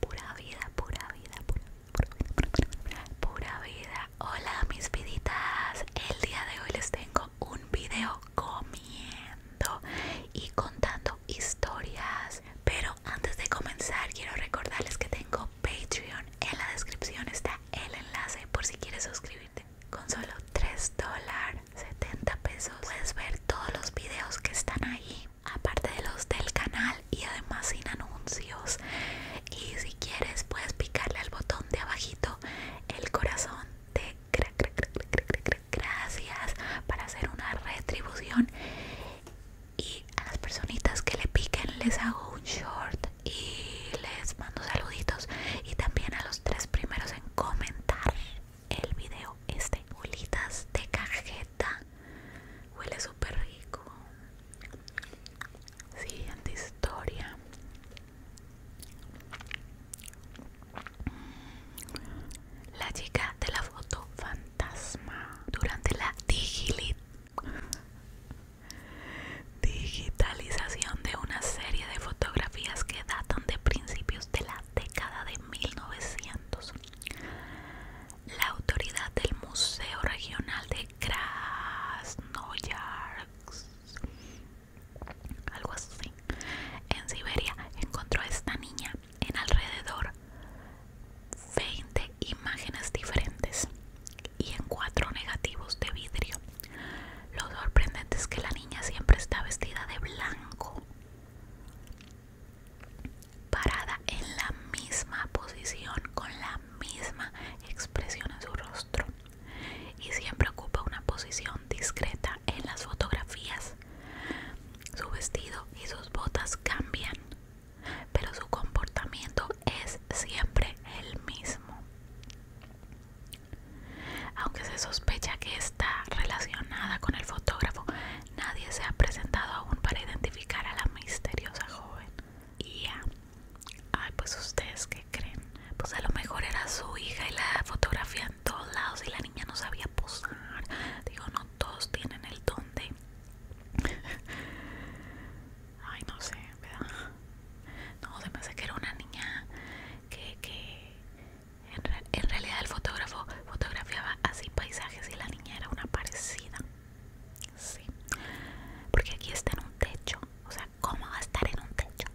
Pura vida, pura vida, pura, pura, pura vida. Hola mis viditas. El día de hoy les tengo un video comiendo y contando historias. Pero antes de comenzar quiero recordarles que tengo Patreon. En la descripción está el enlace por si quieres suscribirte. Con solo 3 dólares 70 pesos puedes ver todos los videos que están ahí aparte de los del canal y además sin anuncios y si quieres puedes picarle al botón de abajito el corazón de gracias para hacer una retribución y a las personitas que le piquen les hago un short y les mando saluditos y también a los tres primeros en comentar el video este olitas de cajeta huele súper rico siguiente historia la chica de la foto fantasma durante la digitalización de una serie de fotografías que datan de principios de la década de 1900. La autoridad del Museo Regional de Krasnoyarsk, algo así, en Siberia, encontró a esta niña en alrededor 20 imágenes diferentes y en cuatro negativos de vidrio lo sorprendente es que la niña siempre está vestida de blanco, parada en la misma posición, con la misma expresión en su rostro y siempre ocupa una posición discreta en las fotografías. Su vestido y sus botas cambian, pero su comportamiento es siempre el mismo. Aunque se sospecha que está relacionada con el fotógrafo, nadie se ha presentado aún para identificar a la misteriosa joven. Y ya, ay, pues ustedes qué creen. Pues a lo mejor era su hija y la fotografía en todos lados y la niña no sabía posar. Digo, no todos tienen el don de... Ay, no sé, ¿verdad? No, se me hace que era una niña que, en, en realidad el fotógrafo fotografiaba así paisajes y la niña era una parecida. Sí, porque aquí está en un techo. O sea, ¿cómo va a estar en un techo?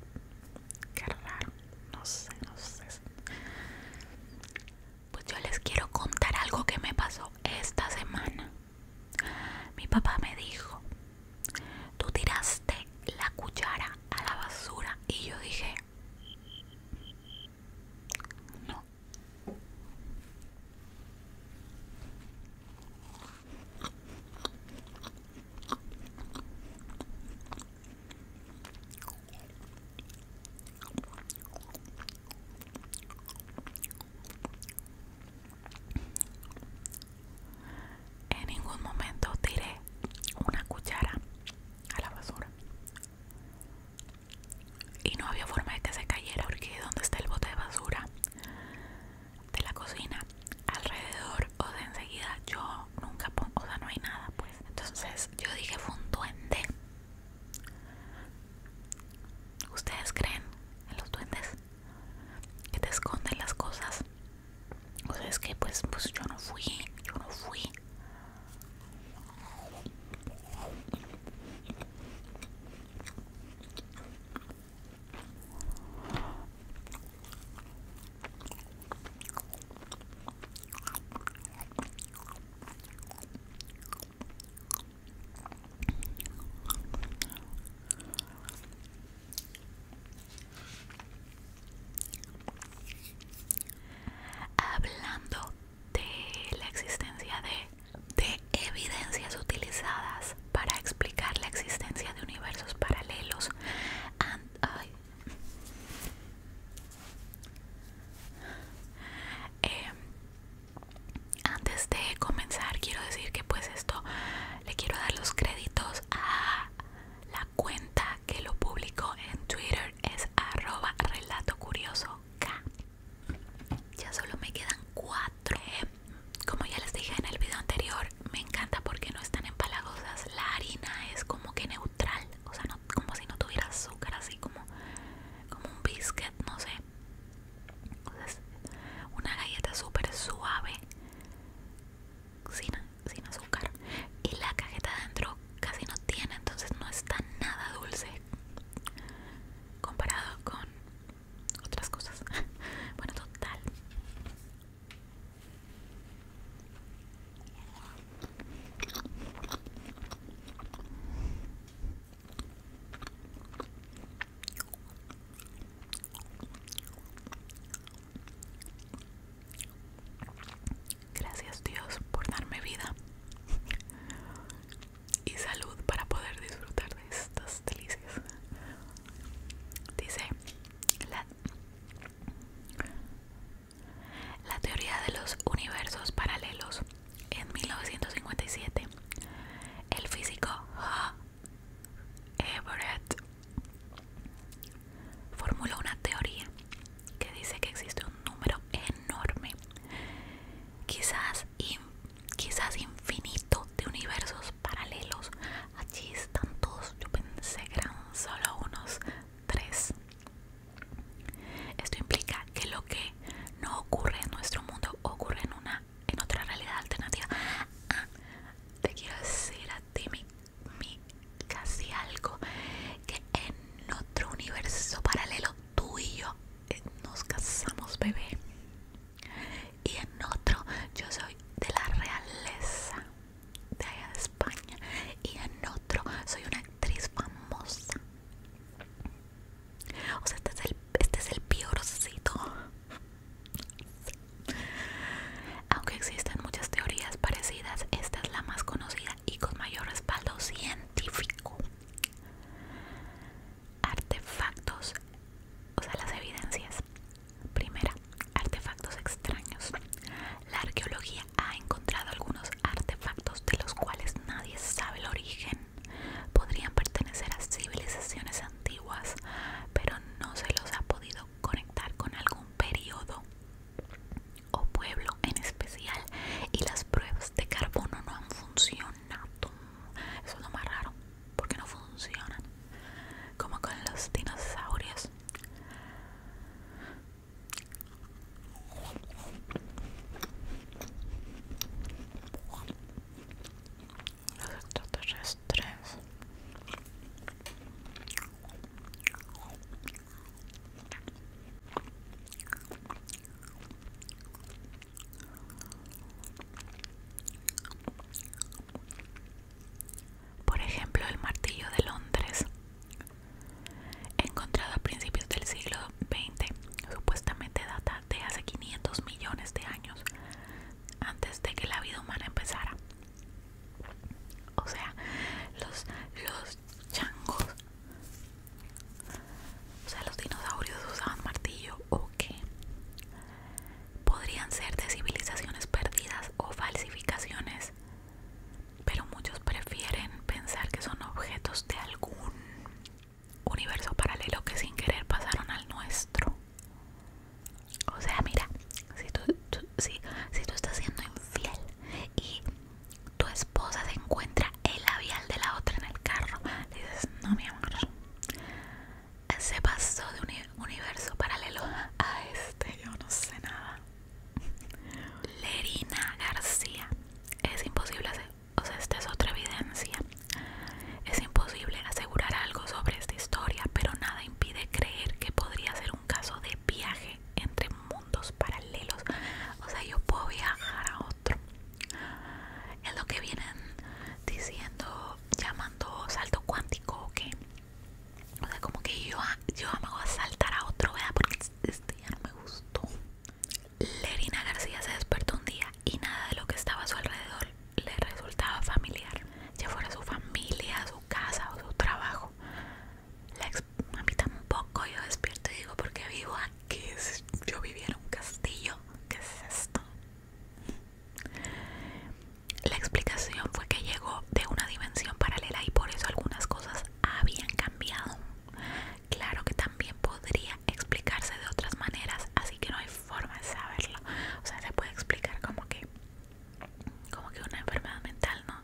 Qué raro. No sé, no sé. Pues yo les quiero contar algo que me pasó esta semana. Mi papá me dijo tú tiraste la cuchara a la basura y yo dije, no. En ningún momento tiré una cuchara a la basura. Y no había forma de que se cayera porque donde está el bote de basura de la cocina, alrededor o de enseguida, yo nunca pongo, o sea, no hay nada, pues. Entonces yo dije, fue un duende. ¿Ustedes creen en los duendes? que te esconden las cosas. O sea, es que pues, pues yo no fui, yo no fui. Hablando de la existencia de, evidencias utilizadas para explicar la existencia de universos paralelos, em, antes de comenzar quiero decir que pues esto le quiero dar los créditos a la cuenta que lo publicó en Twitter es arroba relato curioso K. Ya solo me quedan cuatro. Eh, como ya les dije en el video anterior, me encanta porque no están empalagosas. La harina es como que neutral, o sea, como si no tuviera azúcar, así como, como un biscuit, no sé. una galleta súper suave sin, azúcar y la cajeta adentro casi no tiene entonces no está nada dulce comparado con otras cosas bueno total Gracias Dios por darme vida y salud para poder disfrutar de estas delicias. Dice la, teoría de los universos paralelos. En 1957, el físico Everett formuló una teoría que dice que existe un número enorme, quizás, quizás infinito, de universos paralelos. Allí están todos, yo pensé que eran solo unos tres. Esto implica que lo que no ocurre en nuestro mundo ocurre en una en otra realidad alternativa. Ah, te quiero decir Dime mi, casi algo que en otro universo paralelo tú y yo eh, nos casamos bebé y en otro yo soy de la realeza de allá de España y en otro soy una actriz famosa o sea este es el, este es el piorcito aunque existen muchas teorías parecidas, esta es la más conocida y con mayor respaldo científico. Artefactos, o sea, las evidencias. Primera, artefactos extraños. La arqueología ha encontrado algunos artefactos de los cuales nadie sabe el origen. Podrían pertenecer a civilizaciones antiguas, pero no se los ha podido conectar con algún periodo o pueblo en especial y las pruebas de carbono no han funcionado. Eso es lo más raro, porque no funcionan. Como con los dinosaurios los extraterrestres por ejemplo el martillo de Londres encontrado a principios del siglo XX supuestamente data de hace 500 millones de años antes de que la vida humana empezara. O sea, los, los changos, o sea, los dinosaurios usaban martillo o qué. Podrían ser de civilizaciones perdidas o falsificaciones, pero muchos prefieren pensar que son objetos de algún universo paralelo que sin querer pasaron al nuestro. O sea, mira, si tú, si, estás siendo infiel y tu esposa se encuentra el labial de la otra en el carro, dices, no, mi amor, se pasó de un universo paralelo a este, yo no sé nada. Lerina García, es imposible hacer, o sea, esta es otra evidencia es imposible asegurar algo sobre esta historia, pero nada impide creer que podría ser un caso de viaje entre mundos paralelos. O sea, yo puedo viajar a otro. Es lo que vienen diciendo, llamando salto cuántico o qué. O sea, como que yo, yo me voy a saltar a otro, ¿verdad? Porque este ya no me gustó. Lerina García se despertó un día y nada de lo que estaba a su alrededor le resultaba familiar, ya fuera su familia, su casa o su trabajo. La ex, un poco yo despierto y digo, porque vivo aquí, yo vivía en un castillo, ¿qué es esto? La explicación fue que llegó de una dimensión paralela y por eso algunas cosas habían cambiado. Claro que también podría explicarse de otras maneras, así que no hay forma de saberlo. O sea, se puede explicar como que como que una enfermedad mental, ¿no?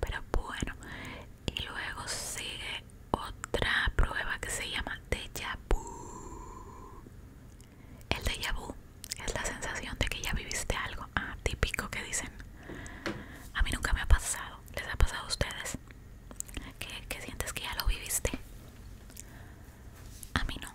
Pero bueno, y luego sigue otra prueba que se llama déjà vu. El déjà vu es la sensación de que ya viviste algo ah, típico que dicen. A mí nunca me ha pasado. ¿Les ha pasado a ustedes? ¿Que, que sientes que ya lo viviste? A mí no.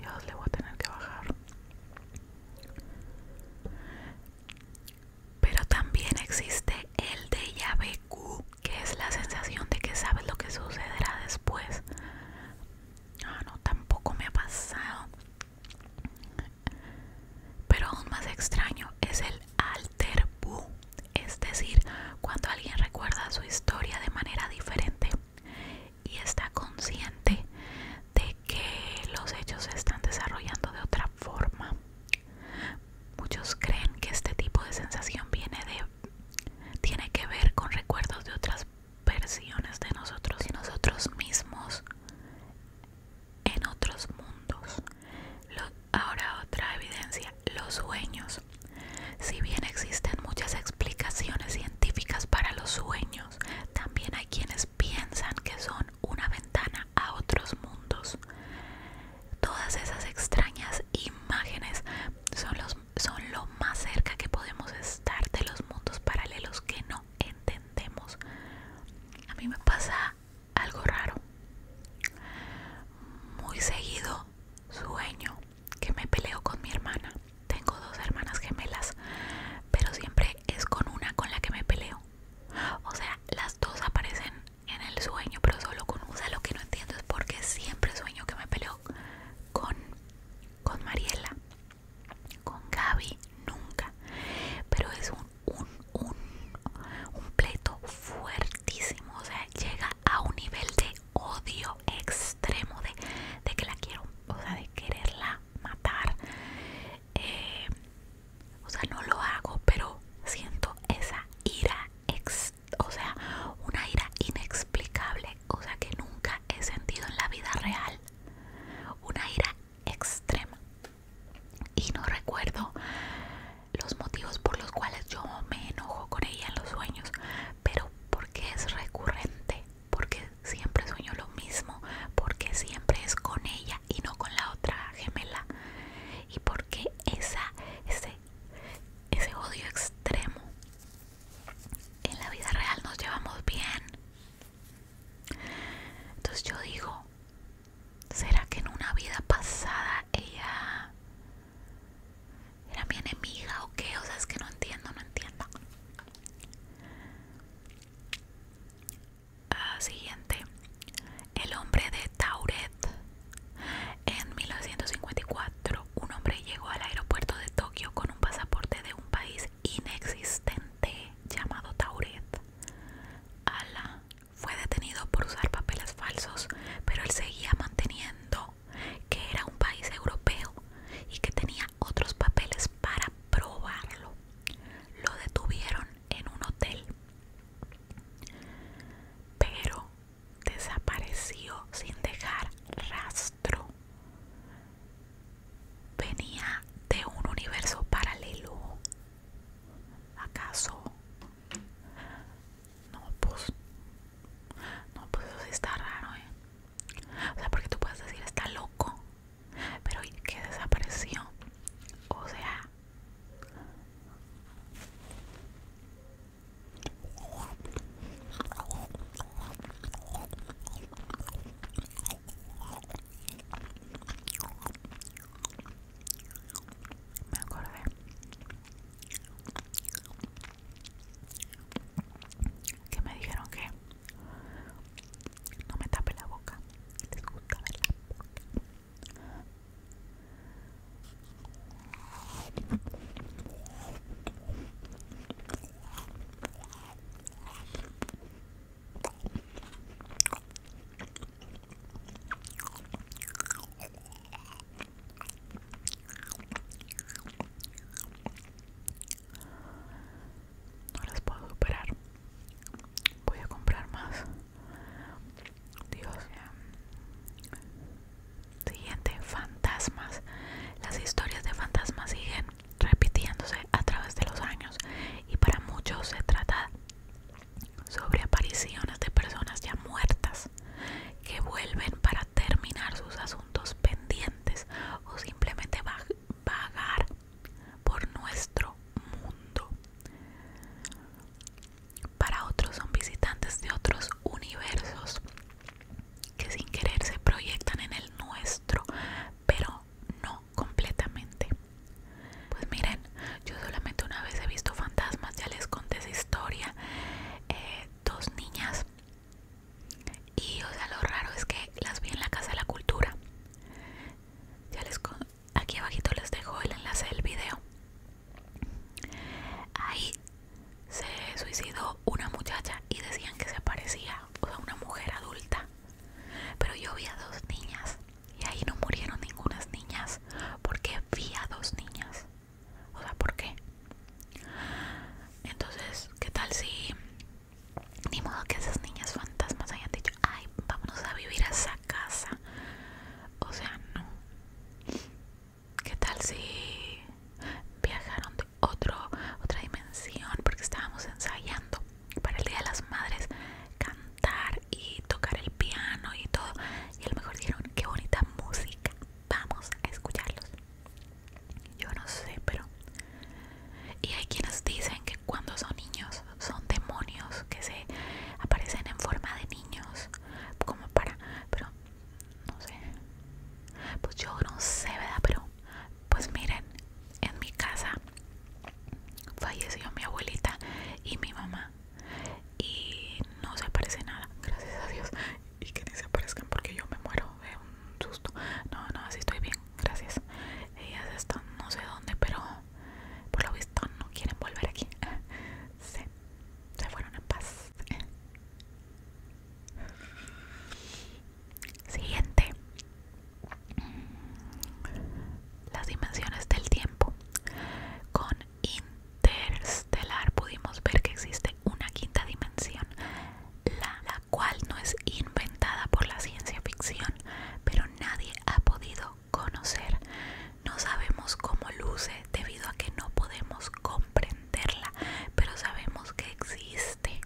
Dios, le voy a tener que bajar. Pero también existe el déjà vu, que es la sensación de que sabes lo que sucederá después. Ah, no, tampoco me ha pasado. Pero aún más extraño es el alter bu, es decir, cuando alguien recuerda su historia de manera diferente y está consciente de que los hechos se están desarrollando de otra forma Muchos creen que este tipo de sensación viene de tiene que ver con recuerdos de otras versiones de nosotros y nosotros mismos en otros mundos. ahora otra evidencia, los sueños. Si bien existen muchas explicaciones científicas para los sueños, también hay quienes piensan que son una ventana a otros mundos. Todas esas extrañas imágenes son, los, son lo más cerca que podemos estar de los mundos paralelos que no entendemos. A mí me pasa algo raro. Muy seguido sueño que me peleo con mi hermana. Tengo dos hermanas gemelas, pero siempre es con una con la que me peleo. O sea, las dos aparecen en el sueño, pero solo con Usa, Lo que no entiendo es porque siempre sueño que me peleo con, con Mariela, con Gaby, nunca. Pero es un, un, un, un pleito fuertísimo, o sea, llega a un nivel de odio extremo, de, de que la quiero, o sea, de quererla matar. Eh, o sea, no lo hago, pero siento esa ira, o sea, una ira inexplicable, o sea, que nunca he sentido en la vida real. Una ira extrema. Y no recuerdo los motivos por los cuales yo me enojo con ella en los sueños, pero porque es recurrente, porque siempre sueño lo mismo, porque siempre es con ella y no con la otra gemela y por qué esa, ese, ese odio extremo en la vida real nos llevamos bien. Entonces yo digo, ¿será que en una vida pasada ella era mi enemiga o qué? O sea, es que no entiendo, no entiendo. Ah, siguiente, el hombre de Tauret. En 1954, un hombre llegó al aeropuerto de Tokio con un pasaporte de un país inexistente llamado Tauret. Ala fue detenido por usar papeles falsos, pero él seguía manteniendo que era un país europeo y que tenía otros papeles para probarlo. Lo detuvieron en un hotel, pero desapareció sin dejar rastro. Venía de un universo paralelo. ¿Acaso? No, pues. No, pues eso sí está raro, ¿eh? O sea, porque tú puedes decir está loco, pero que qué desapareció? O sea, me acordé que me dijeron que no me tape la boca, te gusta no las puedo superar. Voy a comprar más. Dios. Siguiente, fantasmas. Las historias de fantasmas siguen repitiéndose a través de los años y para muchos se trata sobre apariciones de personas ya muertas que vuelven para terminar sus asuntos pendientes o simplemente vagar por nuestro mundo. Para otros son visitantes de otros universos que sin querer se proyectan en el nuestro, pero no completamente. Pues miren, yo solamente una vez he visto fantasmas, ya les conté esa historia, eh, dos niñas y o sea lo raro es que las vi en la Casa de la Cultura. Ya les, conté aquí abajito les dejo el enlace del video. Ahí se suicidó una muchacha y decían que se parecía, a una mujer adulta. Pero yo vi a dos niñas y ahí no murieron ningunas niñas porque vi a dos niñas. O sea, ¿por qué? Entonces, ¿qué tal si ni modo que esas niñas fantasmas hayan dicho, ay, vámonos a vivir a casa. O sea, no. ¿Qué tal si viajaron de otro, otra dimensión? Porque estábamos ensayando para el Día de las Madres cantar y tocar el piano y todo. Y a lo mejor dijeron, qué bonita música. Vamos a escucharlos. Yo no sé, pero... Y hay quienes dicen que cuando son niños son demonios que se aparecen en forma de niños, como para, pero no sé, pues yo no sé, ¿verdad? Pero pues miren, en mi casa falleció mi abuelita y mi mamá y no se aparece nada, gracias a Dios, y que ni se aparezcan porque yo me muero de un susto. No, no, así estoy bien, gracias. Ellas están no sé dónde, pero por lo visto no quieren volver aquí. se fueron en paz. Siguiente. Las dimensiones del tiempo. Con interstellar pudimos ver que existe una quinta dimensión, la, la cual no es inventada por la ciencia ficción, pero nadie ha podido conocer. No sabemos cómo luce debido a que no podemos comprenderla, pero sabemos que existe.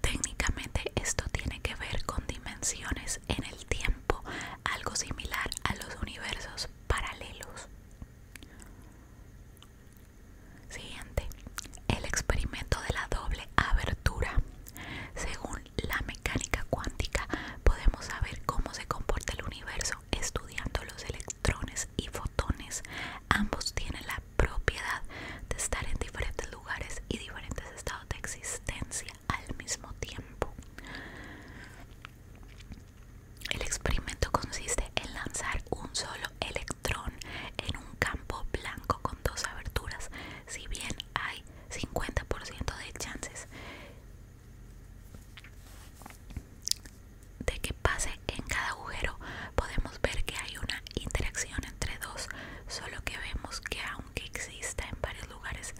Técnicamente esto tiene que ver con dimensiones en el tiempo, algo similar a los universos paralelos. Siguiente, el experimento de la doble abertura. Según la mecánica cuántica podemos saber cómo se comporta el universo estudiando los electrones y fotones. Ambos tienen la propiedad de estar en diferentes lugares y diferentes estados de existencia al mismo tiempo. El experimento consiste en lanzar un solo electrón en un campo blanco con dos aberturas. Si bien hay 50% de chances de que pase en cada agujero podemos ver que hay una interacción entre dos solo que vemos que aunque exista en varios lugares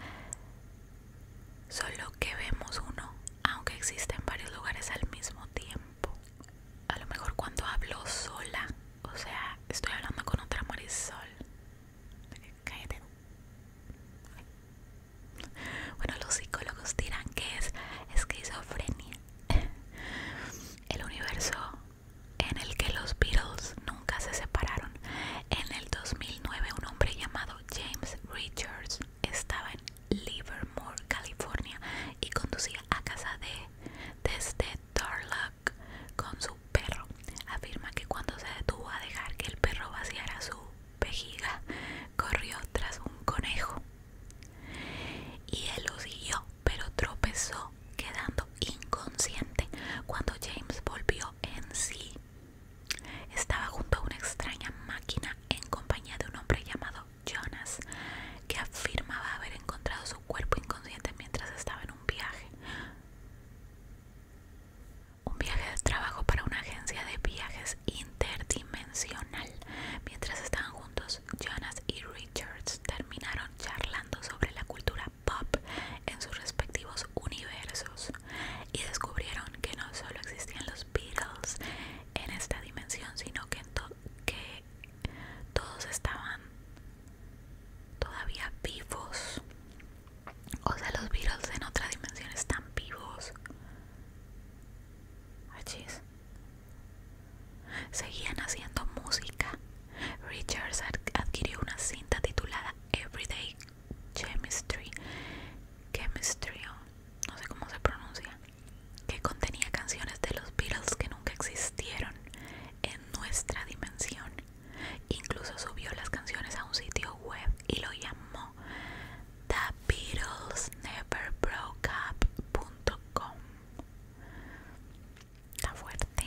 solo que vemos uno aunque exista en varios lugares al mismo tiempo a lo mejor cuando hablo sola o sea estoy hablando con otra marisol Cállate. Bueno, los psicólogos dirán que es esquizofrenia. El universo en el que los Beatles nunca se separaron. En el 2009 un hombre llamado James Richards estaba en Livermore, California y conducía a casa de desde Darla, con su perro. Afirma que cuando se detuvo a dejar que el perro vaciara su vejiga, corrió tras un conejo. Y él lo siguió, pero tropezó, quedando inconsciente. Cuando James volvió en sí, estaba junto a una extraña máquina en compañía de un hombre llamado Jonas, que afirmaba haber encontrado su cuerpo inconsciente mientras estaba en un viaje. Un viaje de trabajo para una agencia de viajes interdimensional. Mientras estaban juntos, Jonas y Richards terminaron charlando sobre la cultura pop en sus respectivos universos y descubrieron que no solo existían los Beatles en esta dimensión, sino que, que todos estaban todavía vivos. O sea, los Beatles en otra dimensión están vivos. Seguían haciendo música. Richards adquirió una cinta titulada Everyday Chemistry. Chemistry, no sé cómo se pronuncia. Que contenía canciones de los Beatles que nunca existieron en nuestra dimensión. Incluso subió las canciones a un sitio web y lo llamó The Beatles fuerte.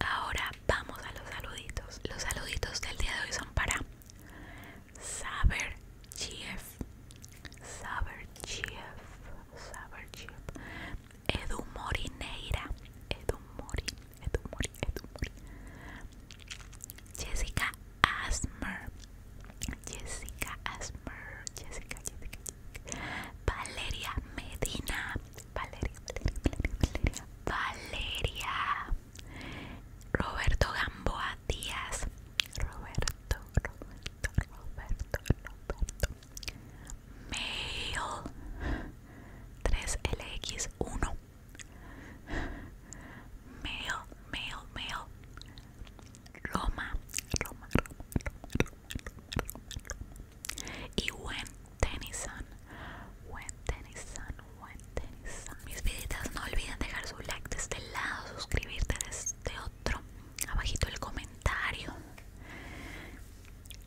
Ahora vamos a los saluditos. Los saluditos del día de hoy son para Saber Chief, Saber Chief, Saber Chief, Edu Morineira, Edu Mori, Edu Mori, Jessica Asmer, Jessica Asmer, Jessica, Jessica, Valeria Medina, Valeria, Valeria, Valeria, Roberto Gamboa Díaz, Roberto, Roberto, Roberto, Roberto, Mail 3LX1, Mail, Mail, Mail, Roma, Roma, Roma, y buen Tennyson. Gwen Tennyson, Gwen Tennyson. Mis viditas, no olviden dejar su like de este lado, suscribirte de este otro. Abajito el comentario.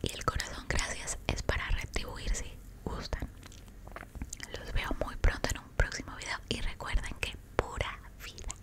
Y el corazón, gracias, es para retribuir si gustan. Los veo muy pronto en un próximo video y recuerden que pura vida.